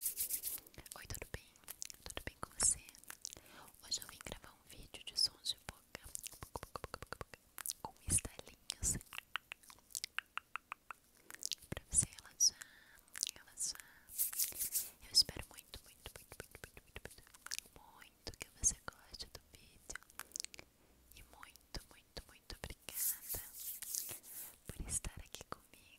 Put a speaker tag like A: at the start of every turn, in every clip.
A: Oi, tudo bem? Tudo bem com você? Hoje eu vim gravar um vídeo de sons de boca com estalinhos pra você relaxar, relaxar. Eu espero muito, muito, muito, muito, muito, muito, muito que você goste do vídeo e muito, muito, muito obrigada por estar aqui comigo.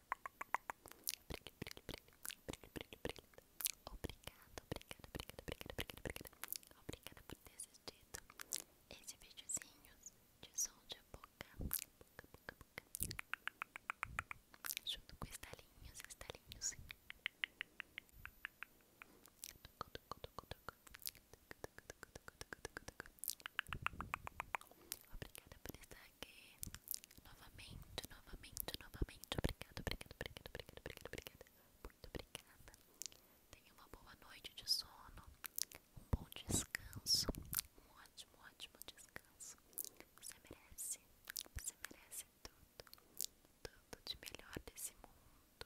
B: Obrigada, obrigada, obrigada, obrigada, obrigada, obrigada. Obrigada por ter assistido esse videozinho de som de boca, boca, boca, boca. Junto com estalinhos, estalinhos. Tucu, tucu, tucu, tucu. Tucu, tucu, tucu, tucu, tucu, tucu, Obrigada por estar aqui novamente, novamente, novamente. Obrigada, obrigada, obrigada, obrigada, obrigada, obrigada. Muito obrigada. Tenha uma boa noite de sono, um bom descanso, um ótimo, ótimo descanso. Você merece, você merece tudo, tudo de melhor desse mundo.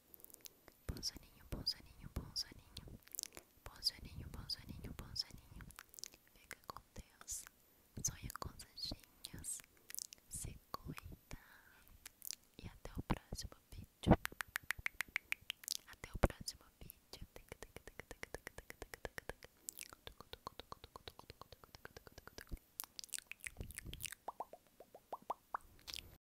B: Bom soninho, bom soninho, bom soninho. Bom soninho, bom soninho, bom Fica com Deus. Sonha coisas lindas. Se cuida. E até o próximo vídeo. Até o próximo vídeo.